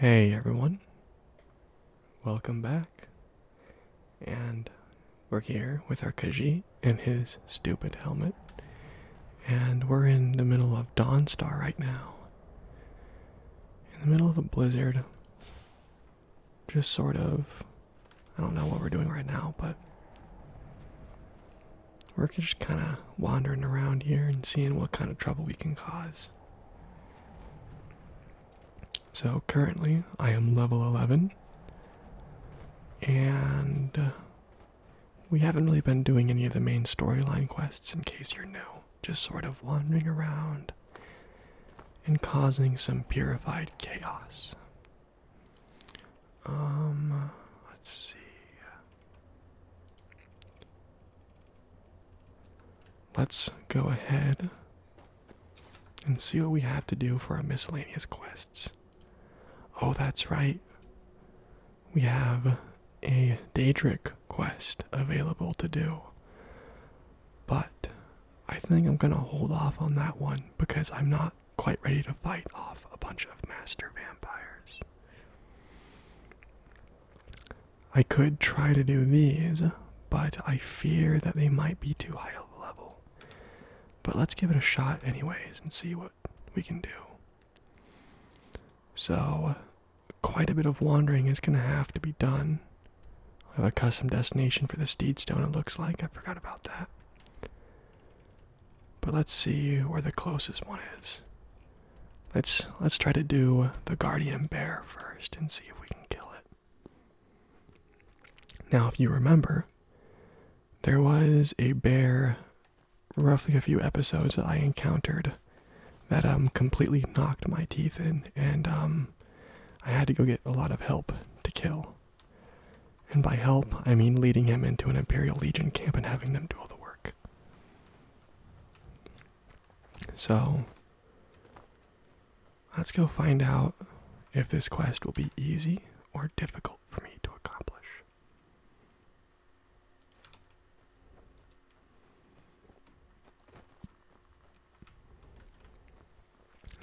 Hey everyone, welcome back. And we're here with our Kaji and his stupid helmet. And we're in the middle of Dawnstar right now. In the middle of a blizzard. Just sort of. I don't know what we're doing right now, but we're just kind of wandering around here and seeing what kind of trouble we can cause. So currently, I am level 11, and uh, we haven't really been doing any of the main storyline quests in case you're new. Just sort of wandering around and causing some purified chaos. Um, let's see. Let's go ahead and see what we have to do for our miscellaneous quests. Oh, that's right. We have a Daedric quest available to do. But I think I'm going to hold off on that one because I'm not quite ready to fight off a bunch of master vampires. I could try to do these, but I fear that they might be too high of a level. But let's give it a shot, anyways, and see what we can do. So, quite a bit of wandering is going to have to be done. I have a custom destination for the steed stone. it looks like. I forgot about that. But let's see where the closest one is. Let's let's try to do the guardian bear first and see if we can kill it. Now, if you remember, there was a bear roughly a few episodes that I encountered that um completely knocked my teeth in and um I had to go get a lot of help to kill. And by help, I mean leading him into an Imperial Legion camp and having them do all the work. So, let's go find out if this quest will be easy or difficult for me to accomplish.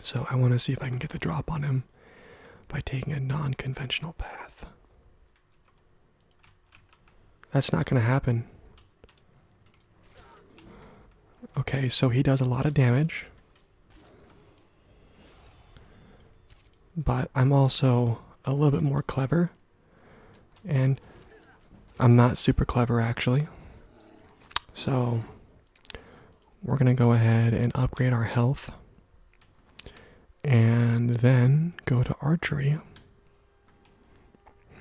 So, I want to see if I can get the drop on him by taking a non conventional path. That's not going to happen. Okay, so he does a lot of damage. But I'm also a little bit more clever. And I'm not super clever, actually. So we're going to go ahead and upgrade our health and then go to archery.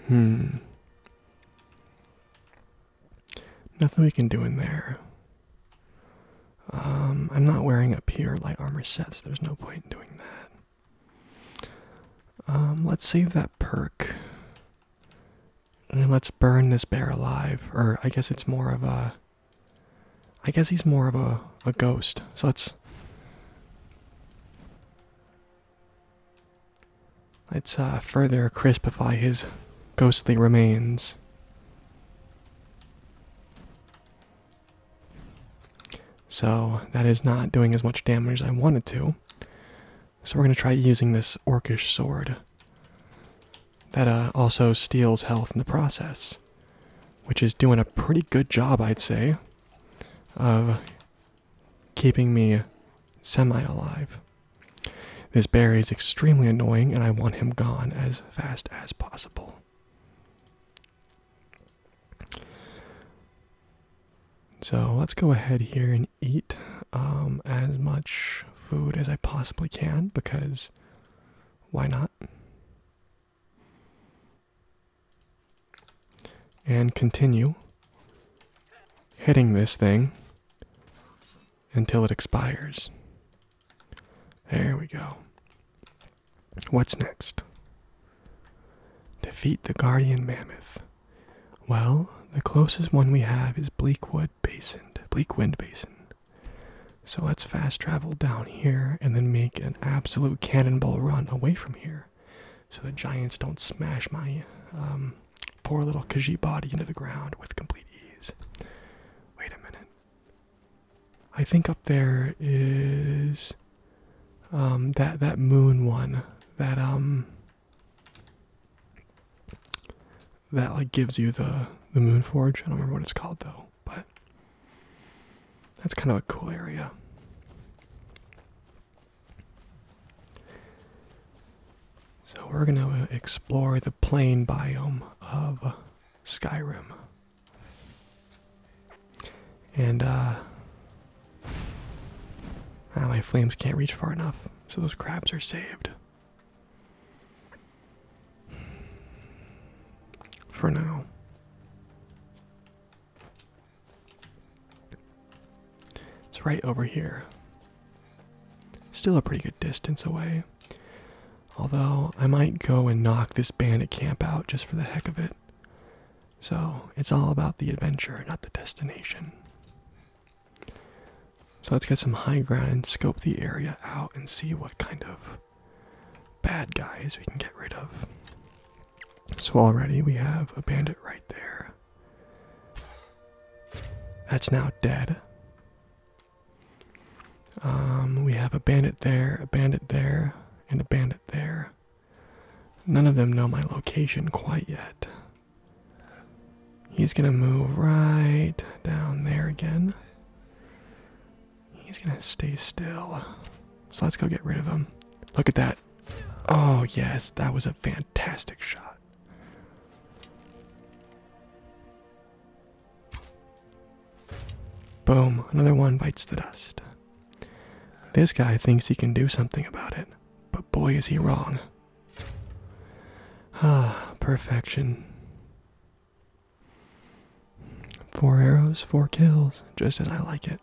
Hmm. Nothing we can do in there. Um, I'm not wearing a pure light armor set, so there's no point in doing that. Um, let's save that perk. And let's burn this bear alive. Or I guess it's more of a I guess he's more of a, a ghost. So let's. Let's uh, further crispify his ghostly remains. So that is not doing as much damage as I wanted to. So we're going to try using this orcish sword. That uh, also steals health in the process which is doing a pretty good job, I'd say, of keeping me semi alive. This bear is extremely annoying, and I want him gone as fast as possible. So let's go ahead here and eat um, as much food as I possibly can because why not? and continue hitting this thing until it expires. There we go. What's next? Defeat the guardian mammoth. Well, the closest one we have is Bleakwood Basin, Bleakwind Basin. So let's fast travel down here and then make an absolute cannonball run away from here so the giants don't smash my um, poor little Khajiit body into the ground with complete ease. Wait a minute. I think up there is um, that that moon one that um that like gives you the the moon forge. I don't remember what it's called though but that's kind of a cool area. So we're going to explore the plain biome of Skyrim. And uh ah, my flames can't reach far enough, so those crabs are saved for now. It's right over here. Still a pretty good distance away. Although, I might go and knock this bandit camp out just for the heck of it. So, it's all about the adventure, not the destination. So, let's get some high ground and scope the area out and see what kind of bad guys we can get rid of. So already we have a bandit right there. That's now dead. Um, we have a bandit there, a bandit there, and a bandit there. None of them know my location quite yet. He's gonna move right down there again. He's gonna stay still. So let's go get rid of him. Look at that. Oh, yes, that was a fantastic shot. Boom, another one bites the dust. This guy thinks he can do something about it, but boy, is he wrong. Ah, perfection. Four arrows, four kills, just as I like it.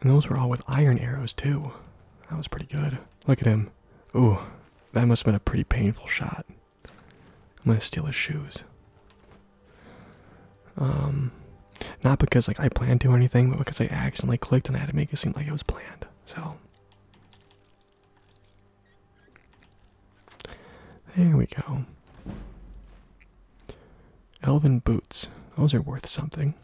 And those were all with iron arrows, too. That was pretty good. Look at him. Ooh, that must have been a pretty painful shot. I'm gonna steal his shoes. Um, not because like I planned to or anything, but because I accidentally clicked and I had to make it seem like it was planned. So, there we go. Elven boots. Those are worth something.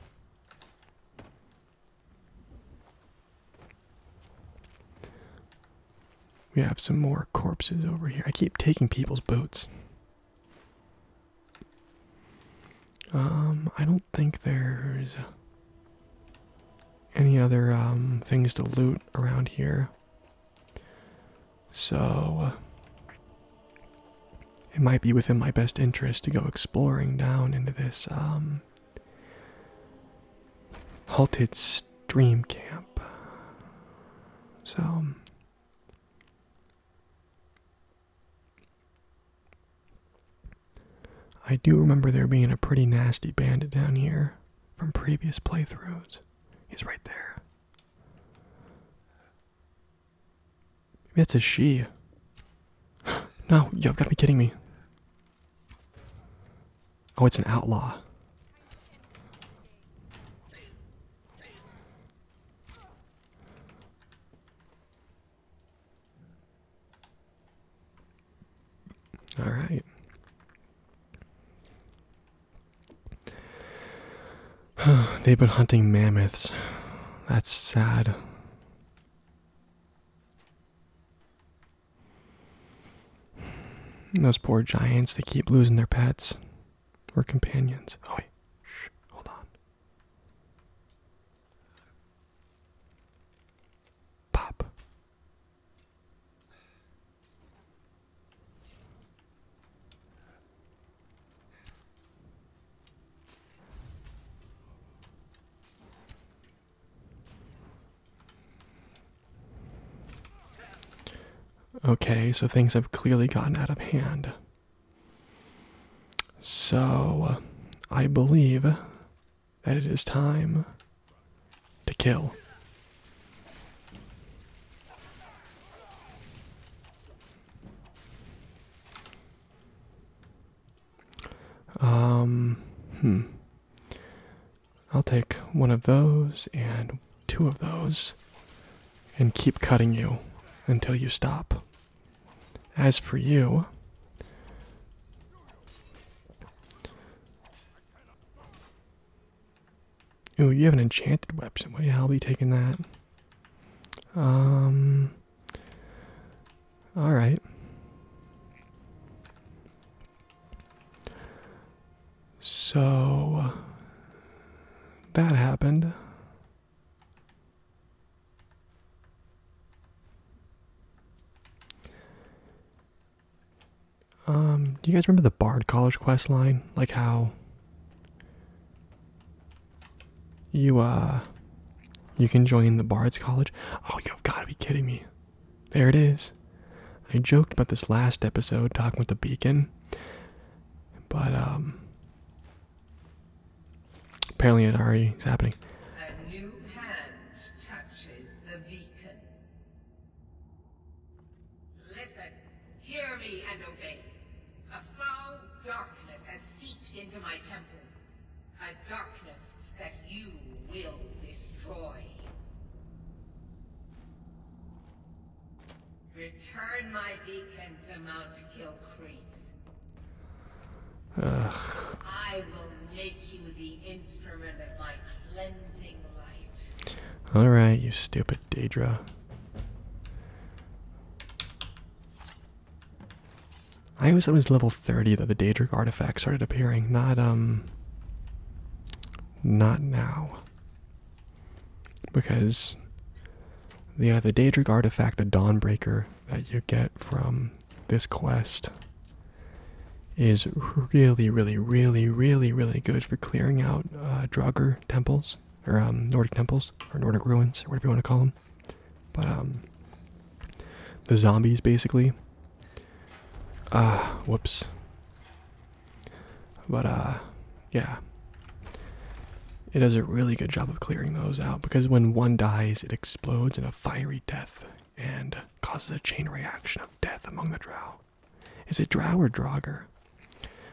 We have some more corpses over here. I keep taking people's boots. Um, I don't think there's any other um, things to loot around here. So uh, it might be within my best interest to go exploring down into this um, halted stream camp. So I do remember there being a pretty nasty bandit down here from previous playthroughs. He's right there. Maybe that's a she. no, you've got to be kidding me. Oh, it's an outlaw. All right. They've been hunting mammoths. That's sad. Those poor giants, they keep losing their pets or companions. Oh, wait. Shh. Hold on. Pop. Okay, so things have clearly gotten out of hand. So, I believe that it is time to kill. Um, hmm. I'll take one of those and two of those and keep cutting you until you stop. As for you, Ooh, you have an enchanted weapon. Why I'll be taking that? Um. All right. So uh, that happened. Um, do you guys remember the Bard College quest line? Like how you uh you can join the Bard's College? Oh, you've got to be kidding me. There it is. I joked about this last episode talking with the beacon. But um apparently it already is happening touches the beacon. Listen, hear me and obey. A foul darkness has seeped into my temple. A darkness that you will destroy. Return my beacon to Mount Kilcreath. Ugh. All right, you stupid Daedra. I always thought it was level 30 that the Daedric artifact started appearing, not um not now. Because the uh, Daedric artifact, the Dawnbreaker, that you get from this quest is really, really, really, really, really good for clearing out uh, temples, or um, Nordic temples, or Nordic ruins, or whatever you want to call them. But um, the zombies, basically. Ah, whoops. But uh, yeah. It does a really good job of clearing those out because when one dies, it explodes in a fiery death and causes a chain reaction of death among the drow. Is it drow or draugr?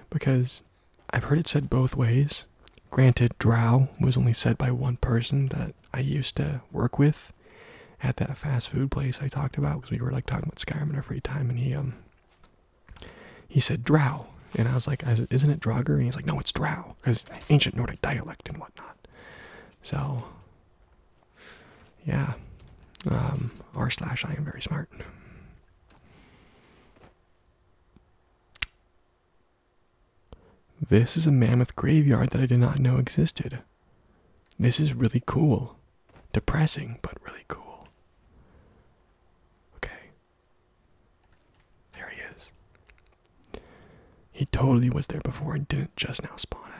Because I've heard it said both ways. Granted, drow was only said by one person that I used to work with at that fast food place I talked about because we were like talking about Skyrim in our free time, and he um he said drow, and I was like, isn't it draugr? And he's like, no, it's drow because ancient Nordic dialect and whatnot. So yeah. Um, R slash I am very smart. This is a mammoth graveyard that I did not know existed. This is really cool. Depressing, but really cool. Okay. There he is. He totally was there before and didn't just now spawn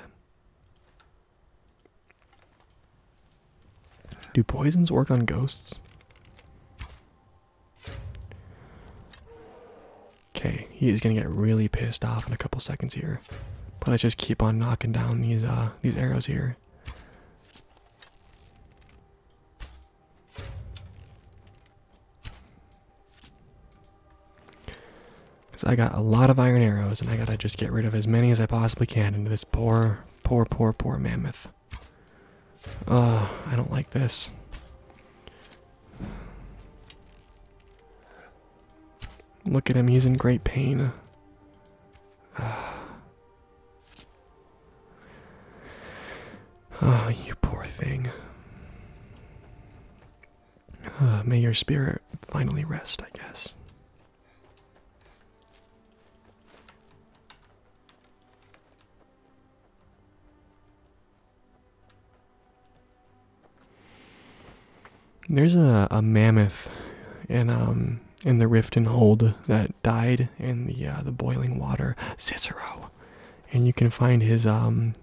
in. Do poisons work on ghosts? Okay, he is gonna get really pissed off in a couple seconds here. But let's just keep on knocking down these uh these arrows here. Because I got a lot of iron arrows, and I gotta just get rid of as many as I possibly can into this poor, poor, poor, poor mammoth. Ugh, I don't like this. Look at him, he's in great pain. Uh, you poor thing. Uh, may your spirit finally rest, I guess. There's a, mammoth in um in the rift and hold that died in the uh, the boiling water Cicero, and you can find his um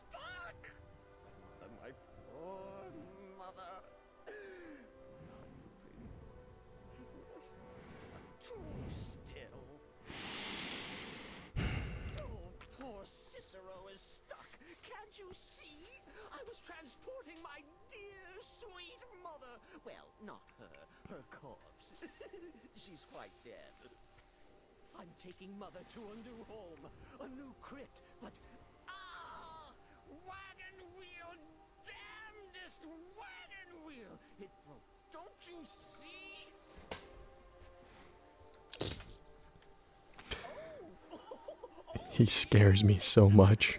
stuck! Mother, my poor mother. Nothing. Rest too still. Oh, poor Cicero is stuck. Can't you see? I was transporting my dear, sweet mother. Well, not her. Her corpse. She's quite dead. I'm taking Mother to a new home, a new crypt, but... Ah! Wagon wheel! Damnedest wagon wheel! It broke. Don't you see? He scares me so much.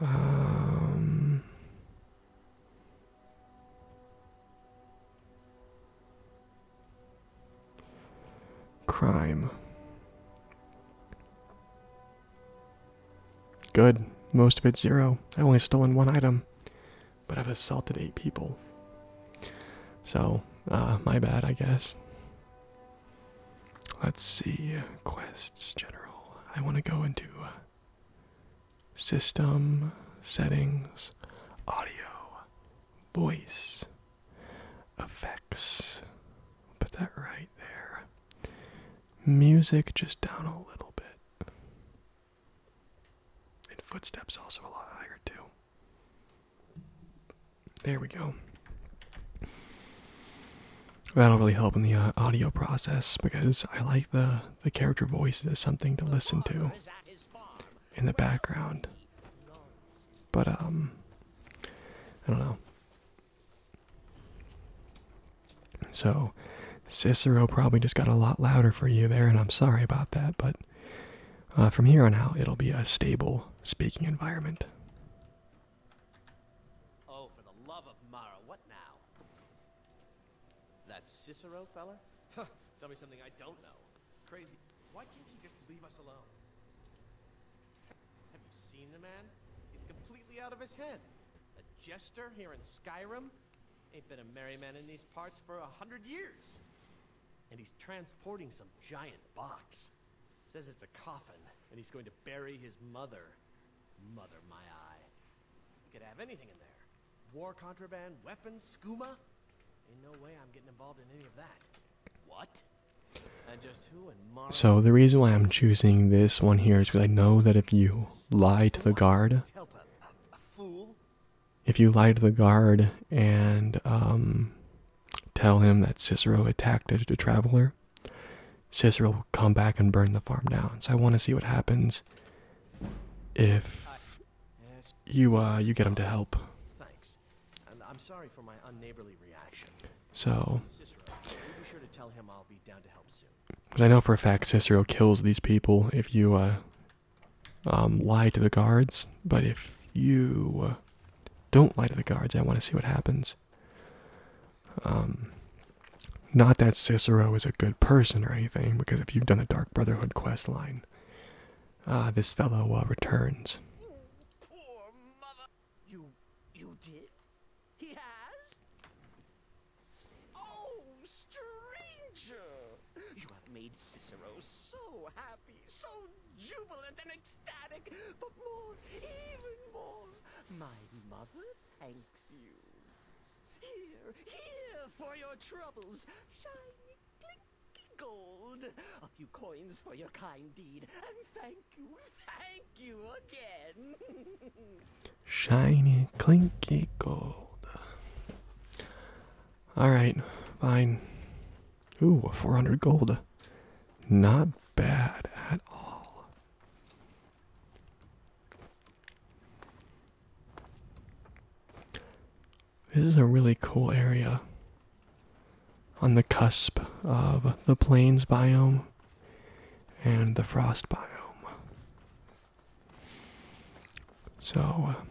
Um, crime. Good. Most of it zero. I only stolen one item, but I've assaulted eight people. So, uh, my bad, I guess. Let's see. Quests, general. I want to go into uh, system, settings, audio, voice, effects. Put that right there. Music just down a little bit. And footsteps also a lot higher, too. There we go. That'll really help in the uh, audio process because I like the the character voices as something to listen to in the background. But um, I don't know. So Cicero probably just got a lot louder for you there, and I'm sorry about that. But uh, from here on out, it'll be a stable speaking environment. Oh, for the love of Mara, what now? That Cicero fella? Tell me something I don't know. Crazy. Why can't he just leave us alone? Have you seen the man? He's completely out of his head. A jester here in Skyrim? Ain't been a merry man in these parts for a hundred years. And he's transporting some giant box. Says it's a coffin, and he's going to bury his mother. Mother, my eye. You could have anything in there. War contraband, weapons, skooma. Ain't no way I'm getting involved in any of that. What? So the reason why I'm choosing this one here is because I know that if you lie to the guard, if you lie to the guard and um, Tell him that Cicero attacked a traveler. Cicero will come back and burn the farm down. So I want to see what happens if you uh, you get him to help. Thanks. I'm sorry for my unneighborly reaction. So be sure to tell him I'll be down to help soon. Because I know for a fact Cicero kills these people if you uh, um, lie to the guards, but if you uh, don't lie to the guards. I want to see what happens. Um, not that Cicero is a good person or anything, because if you've done the Dark Brotherhood quest line, ah, this fellow uh, returns. Poor mother. You, you did. He has. Oh, stranger! You have made Cicero so happy so jubilant and ecstatic, but more, even more, my mother thanks you. Here, here for your troubles, shiny clinky gold, a few coins for your kind deed, and thank you, thank you again. shiny clinky gold. Alright, fine. Ooh, a 400 gold. Not bad at all. This is a really cool area on the cusp of the plains biome and the frost biome. So, uh,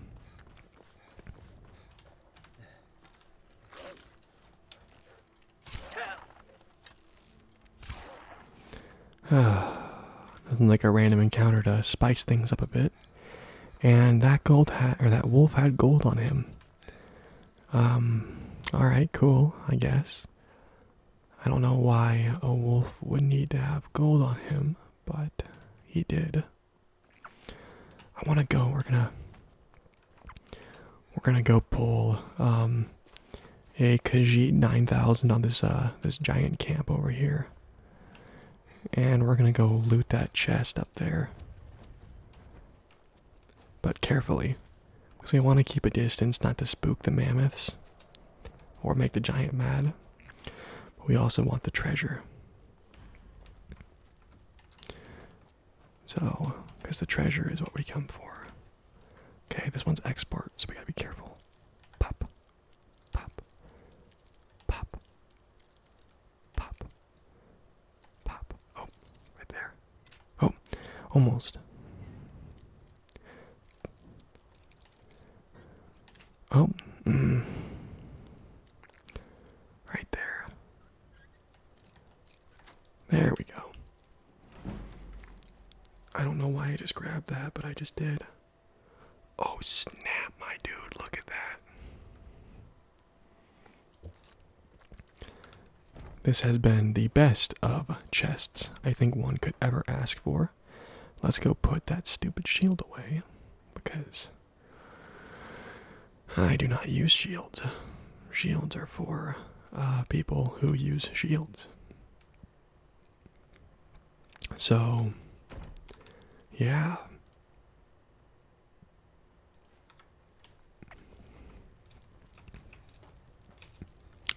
Nothing like a random encounter to spice things up a bit. And that gold hat, or that wolf had gold on him. Um, alright, cool, I guess. I don't know why a wolf would need to have gold on him, but he did. I want to go. We're gonna we're gonna go pull um, a Kajit 9000 on this uh, this giant camp over here, and we're gonna go loot that chest up there. But carefully, because we want to keep a distance, not to spook the mammoths or make the giant mad. But we also want the treasure. So, because the treasure is what we come for. Okay, this one's export, so we gotta be careful. Pop, pop, pop, pop, pop. Oh, right there. Oh, almost. Oh, mm. right there. There we go. I don't know why I just grabbed that, but I just did. Oh, snap, my dude. Look at that. This has been the best of chests I think one could ever ask for. Let's go put that stupid shield away because I do not use shields. Shields are for uh, people who use shields. So, yeah.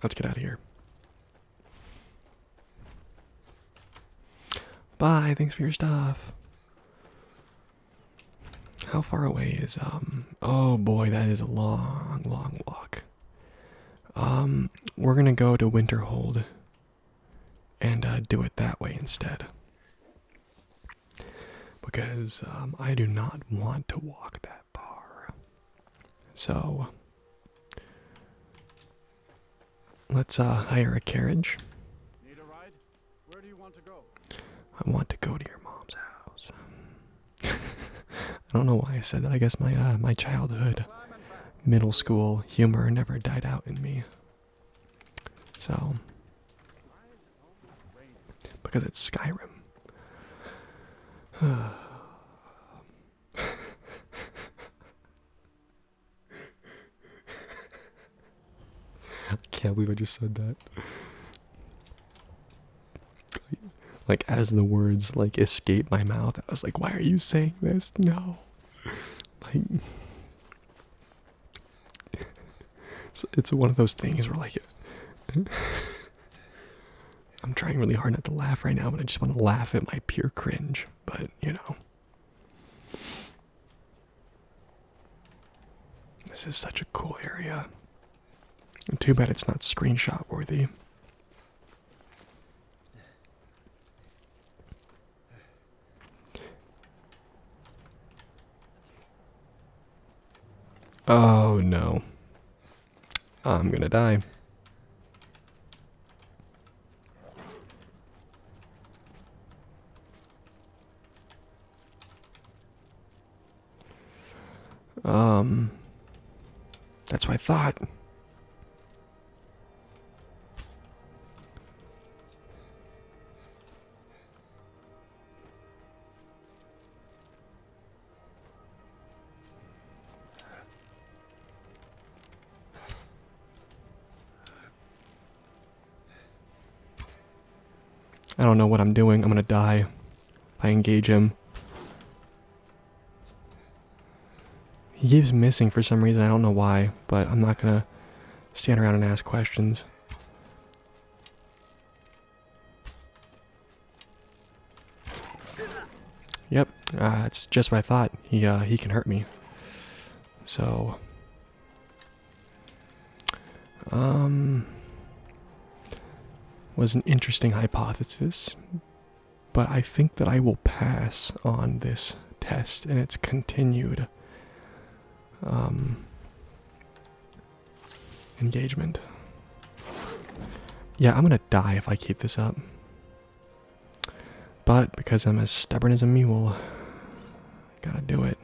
Let's get out of here. Bye. Thanks for your stuff. How far away is um oh boy that is a long long walk. Um we're going to go to Winterhold and uh, do it that way instead. Because um, I do not want to walk that far. So let's uh, hire a carriage. Need a ride? Where do you want to go? I want to go to your mom's house. I don't know why I said that. I guess my uh, my childhood, middle school humor never died out in me. So because it's Skyrim. I can't believe I just said that. Like as the words like escape my mouth, I was like, why are you saying this? No. Like it's, one of those things where like I'm trying really hard not to laugh right now, but I just want to laugh at my pure cringe, but you know. This is such a cool area. Too bad it's not screenshot worthy. Oh no. I'm gonna die. Um, that's what I thought. I don't know what I'm doing. I'm gonna die. I engage him. He keeps missing for some reason. I don't know why, but I'm not gonna stand around and ask questions. Yep, uh, it's just what I thought. He uh, he can hurt me. So um, was an interesting hypothesis, but I think that I will pass on this test and its continued um, engagement. Yeah, I'm gonna die if I keep this up. But because I'm as stubborn as a mule, gotta do it.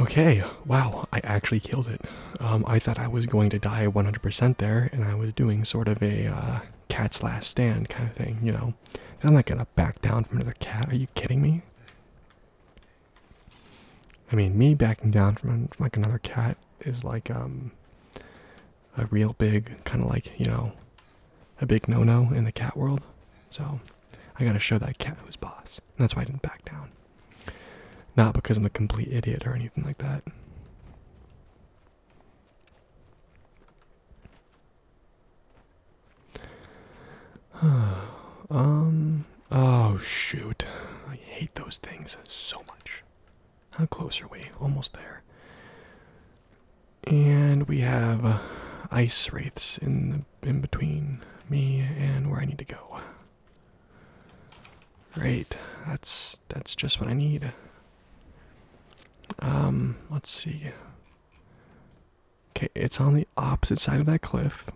Okay, wow, I actually killed it. Um, I thought I was going to die 100% there, and I was doing sort of a uh, cat's last stand kind of thing, you know. I'm not gonna back down from another cat, are you kidding me? I mean, me backing down from like another cat is like um, a real big kind of like you know a big no-no in the cat world. So I gotta show that cat who's boss. that's why I didn't back down. Not because I'm a complete idiot or anything like that. um. Oh shoot! I hate those things so much. How close are we? Almost there. And we have uh, ice wraiths in the, in between me and where I need to go. Great. That's that's just what I need. Um, let's see. Okay, it's on the opposite side of that cliff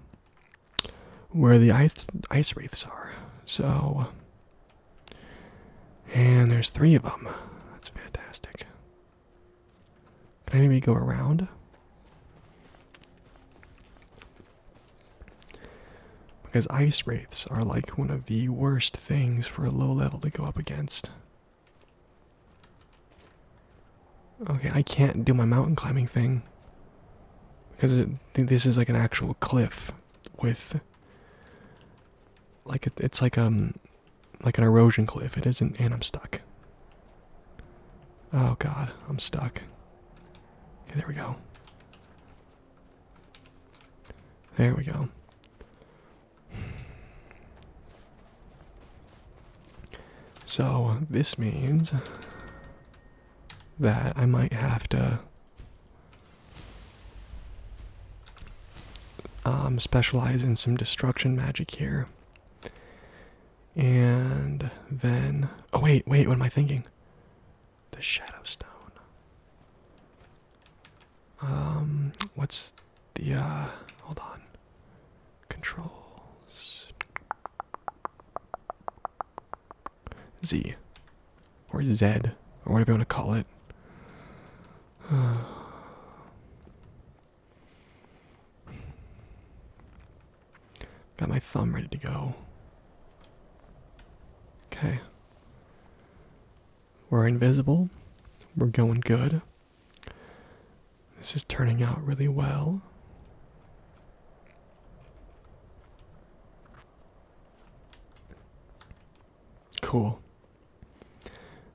where the ice ice wraiths are. So and there's three of them. That's fantastic. Can anybody go around? Because ice wraiths are like one of the worst things for a low level to go up against. Okay, I can't do my mountain climbing thing. Because this is like an actual cliff with like it's like um like an erosion cliff it isn't and i'm stuck oh god i'm stuck okay there we go there we go so this means that I might have to um, specialize in some destruction magic here. And then. Oh, wait, wait, what am I thinking? The Shadow Stone. Um, what's the. Uh, hold on. Controls. Z or Z, or whatever you want to call it. Got my thumb ready to go. Okay. We're invisible. We're going good. This is turning out really well. Cool.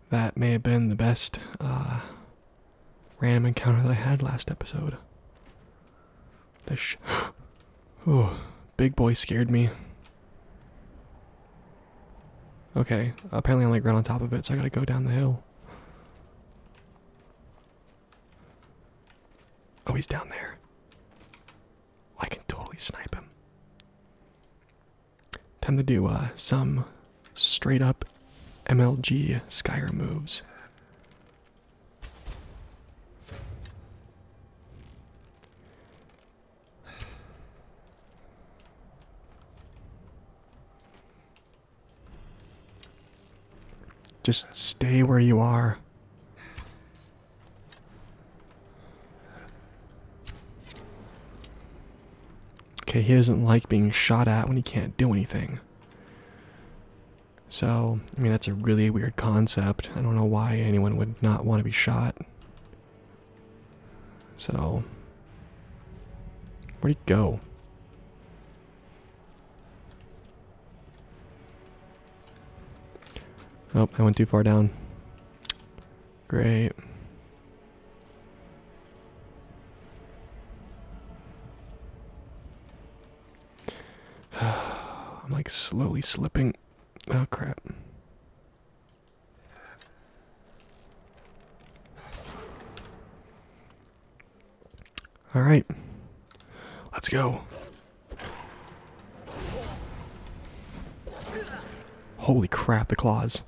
That may have been the best uh, random encounter that I had last episode. This, sh oh, big boy scared me. Okay, apparently I like run on top of it, so I gotta go down the hill. Oh, he's down there. I can totally snipe him. Time to do uh, some straight up MLG skyer moves. Just stay where you are. Okay, he doesn't like being shot at when he can't do anything. So, I mean, that's a really weird concept. I don't know why anyone would not want to be shot. So, where'd he go? Oh, I went too far down. Great. I'm like slowly slipping. Oh crap. All right. Let's go. Holy crap, the claws.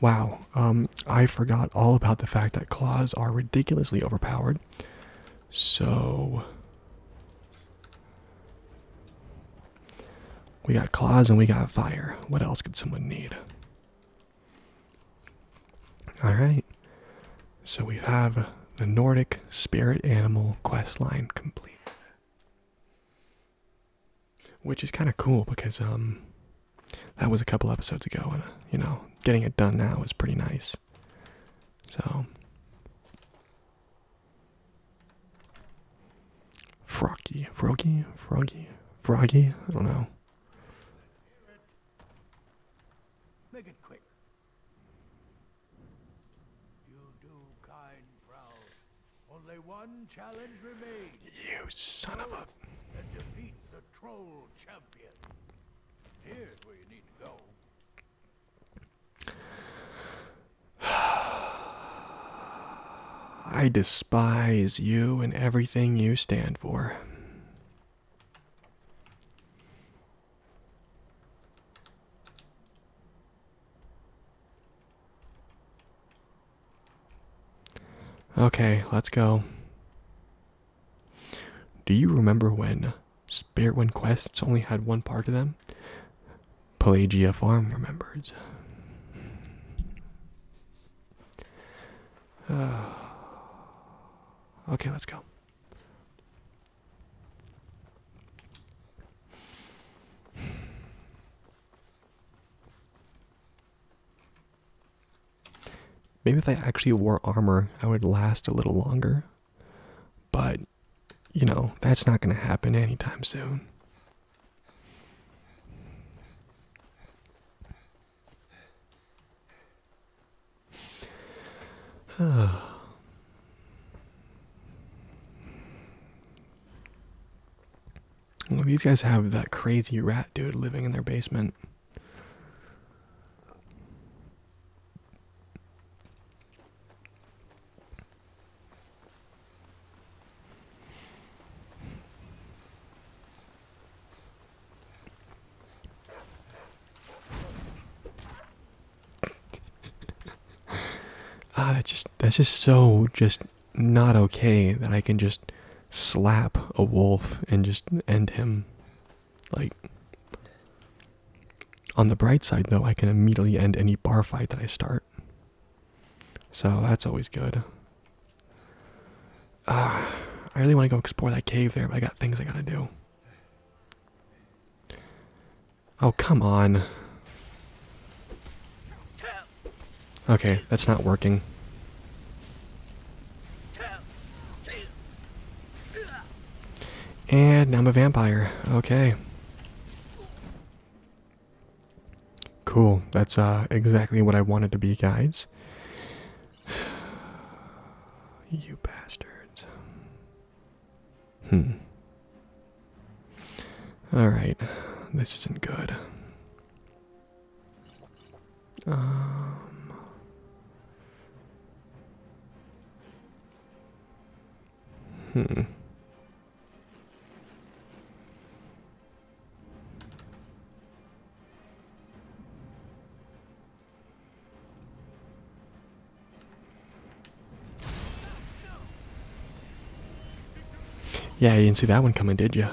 Wow, um, I forgot all about the fact that claws are ridiculously overpowered. So. We got claws and we got fire. What else could someone need? All right. So we have the Nordic spirit animal quest line complete. Which is kind of cool because um that was a couple episodes ago and you know, getting it done now is pretty nice. So Froggy, froggy, froggy, froggy, I don't know. You do kind proud. Only one challenge remains. You son of a! I despise you and everything you stand for. Okay, let's go. Do you remember when Spirit Wind quests only had one part to them? Pelagia Farm remembers. okay, let's go. Maybe if I actually wore armor, I would last a little longer. But, you know, that's not going to happen anytime soon. well, these guys have that crazy rat dude living in their basement ah, that's just that's just so just not okay that I can just slap a wolf and just end him. Like on the bright side though, I can immediately end any bar fight that I start. So that's always good. Ah, I really want to go explore that cave there, but I got things I gotta do. Oh, come on. Okay, that's not working. And I'm a vampire. Okay. Cool. That's uh, exactly what I wanted to be, guys you bastards. Hmm. Alright, this isn't good. Um. Hmm. Yeah, you didn't see that one coming, did you?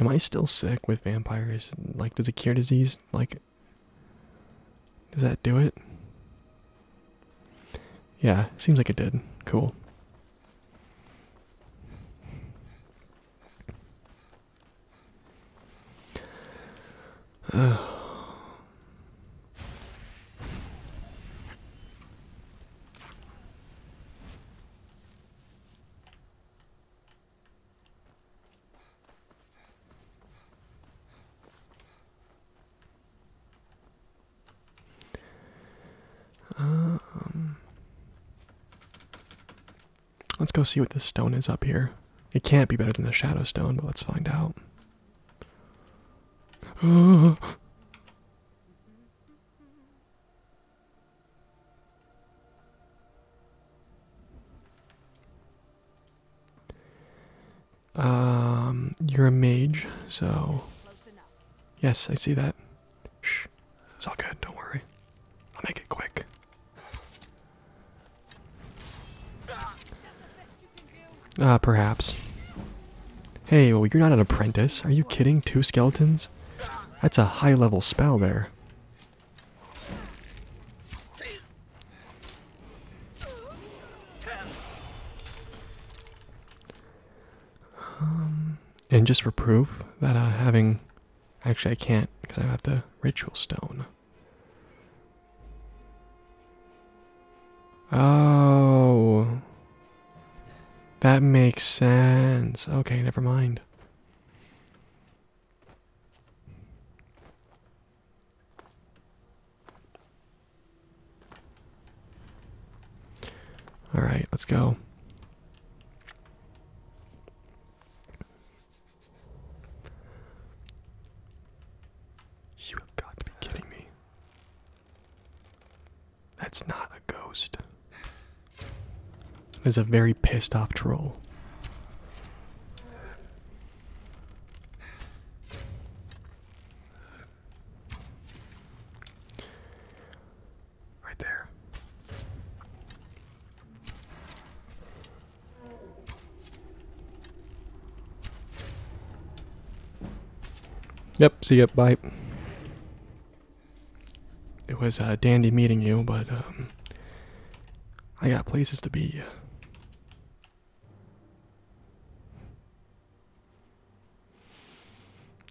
Am I still sick with vampires? Like, does it cure disease? Like, does that do it? Yeah, seems like it did. Cool. Um, let's go see what this stone is up here. It can't be better than the shadow stone, but let's find out. Um, you're a mage, so yes, I see that. Shh, it's all good. Don't worry. I'll make it quick. Uh, perhaps. Hey, well, you're not an apprentice. Are you kidding? Two skeletons? That's a high-level spell there. Um, and just for proof that uh, having, actually I can't because I have the ritual stone. Oh, that makes sense. Okay, never mind. All right, let's go. You have got to be kidding me. That's not a ghost. It is a very pissed off troll. Right there. Yep, see you, bye. It was uh, dandy meeting you, but um, I got places to be. Uh.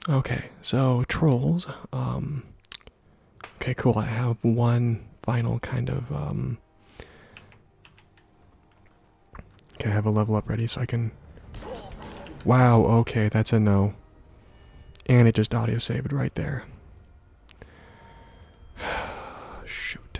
Okay, so trolls. Um, okay, cool. I have one final kind of. Um, okay, I have a level up ready so I can. Wow, okay, that's a no. And it just audio saved right there. Shoot.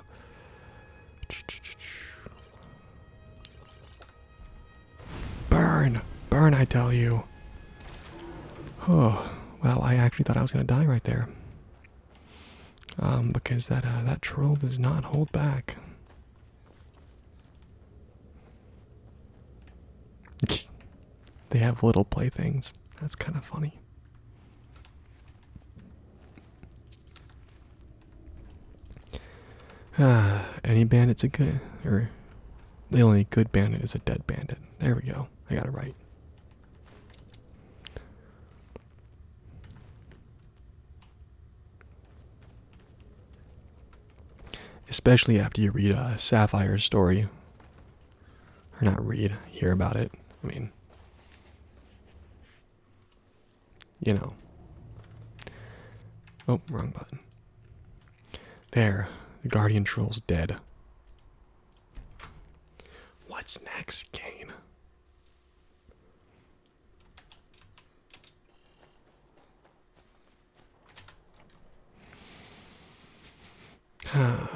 Burn! Burn, I tell you. Oh, well, I actually thought I was going to die right there. Um, because that, uh, that troll does not hold back. they have little playthings. That's kind of funny. Ah, any bandit's a good, or the only good bandit is a dead bandit. There we go. I got it right. Especially after you read a Sapphire story. Or not read, hear about it. I mean, you know. Oh, wrong button. There, the Guardian Troll's dead. What's next, Kane?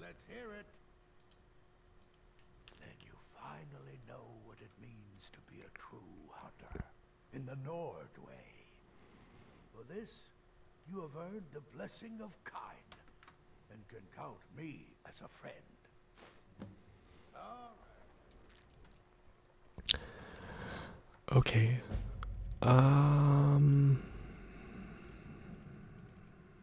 Let's hear it. Then you finally know what it means to be a true hunter in the Nordway. For this, you have earned the blessing of kind and can count me as a friend. Okay. Um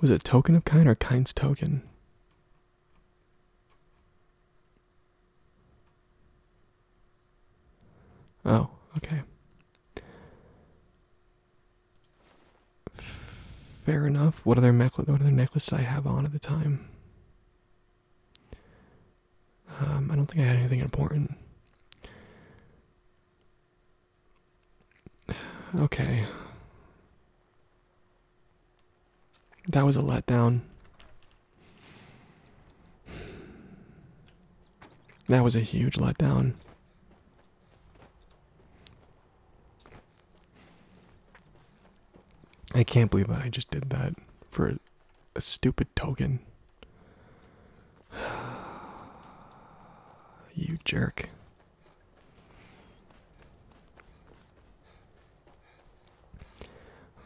Was it token of kind or kind's token? Oh, okay. Fair enough. What other necklace? What other necklace did I have on at the time? Um, I don't think I had anything important. Okay. That was a letdown. That was a huge letdown. I can't believe that I just did that for a, stupid token. you jerk.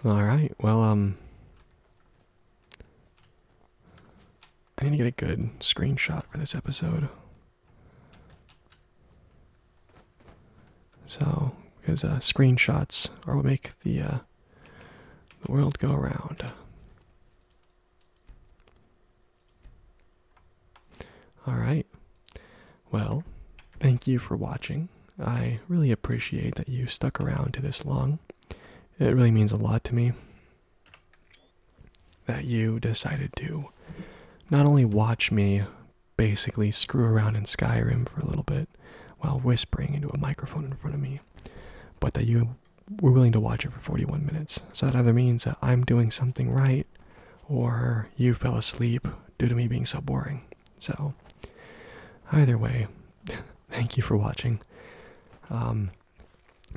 All right. Well, um, I need to get a good screenshot for this episode. So, because uh, screenshots are what make the uh, the world go around. All right. Well, thank you for watching. I really appreciate that you stuck around to this long. It really means a lot to me that you decided to not only watch me basically screw around in Skyrim for a little bit while whispering into a microphone in front of me, but that you were willing to watch it for 41 minutes. So that either means that I'm doing something right or you fell asleep due to me being so boring. So, either way, thank you for watching. Um,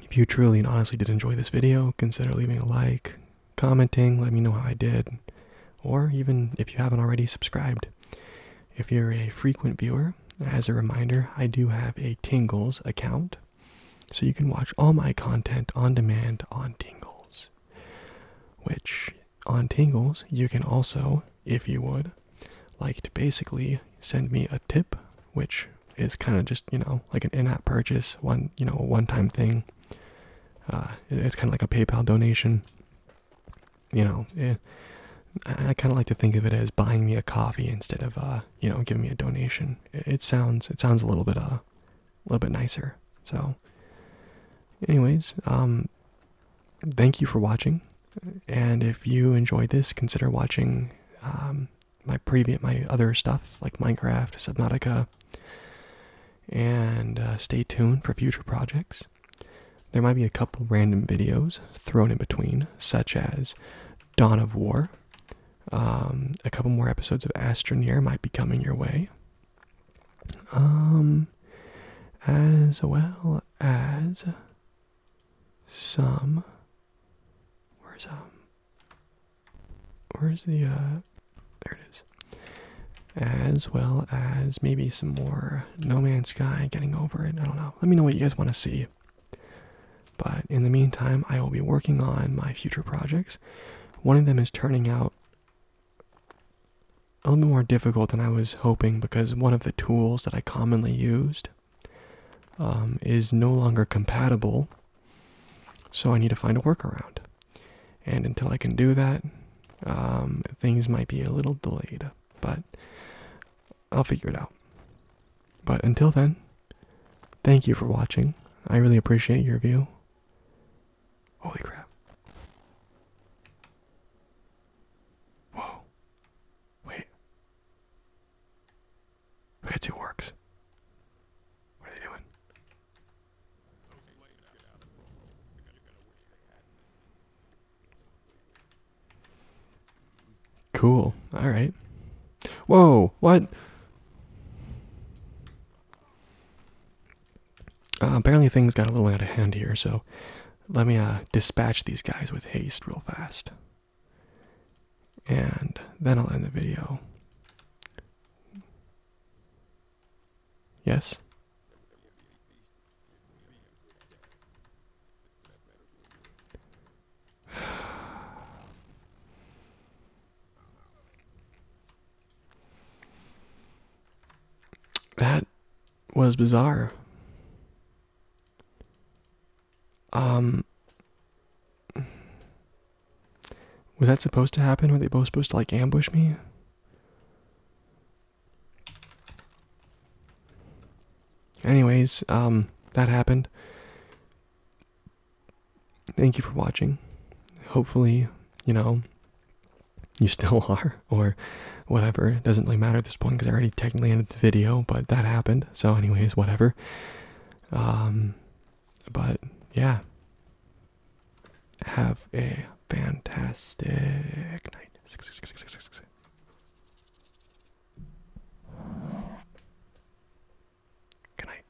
if you truly and honestly did enjoy this video, consider leaving a like, commenting, let me know how I did, or even if you haven't already subscribed. If you're a frequent viewer, as a reminder, I do have a Tingles account, so you can watch all my content on demand on Tingles. Which on Tingles, you can also, if you would, like to basically send me a tip, which is kind of just, you know, like an in app purchase, one, you know, one time thing. Uh, it's kind of like a PayPal donation. You know, eh, I kind of like to think of it as buying me a coffee instead of, uh, you know, giving me a donation. It, it sounds, it sounds a little bit, uh, a little bit nicer. So, anyways, um, thank you for watching. And if you enjoy this, consider watching um, my previous, my other stuff like Minecraft, Subnautica, and uh, stay tuned for future projects. There might be a couple random videos thrown in between, such as Dawn of War. Um, a couple more episodes of Astroneer might be coming your way um, as well as some. Where's um? Where's the uh? There it is. As well as maybe some more No Man's Sky getting over it. I don't know. Let me know what you guys want to see. But in the meantime, I will be working on my future projects. One of them is turning out a little bit more difficult than I was hoping because one of the tools that I commonly used um, is no longer compatible. So I need to find a workaround. And until I can do that, um, things might be a little delayed, but I'll figure it out. But until then, thank you for watching. I really appreciate your view. Holy crap. Whoa. Wait. We got works. What are they doing? Cool. All right. Whoa. What? Uh, apparently things got a little out of hand here, so let me uh, dispatch these guys with haste real fast. And then I'll end the video. Yes? That was bizarre. Um, was that supposed to happen? Were they both supposed to like ambush me? Anyways, um, that happened thank you for watching. Hopefully, you know, you still are, or whatever. It doesn't really matter at this point because I already technically ended the video, but that happened. So, anyways, whatever. Um, but yeah, have a fantastic night. Good night.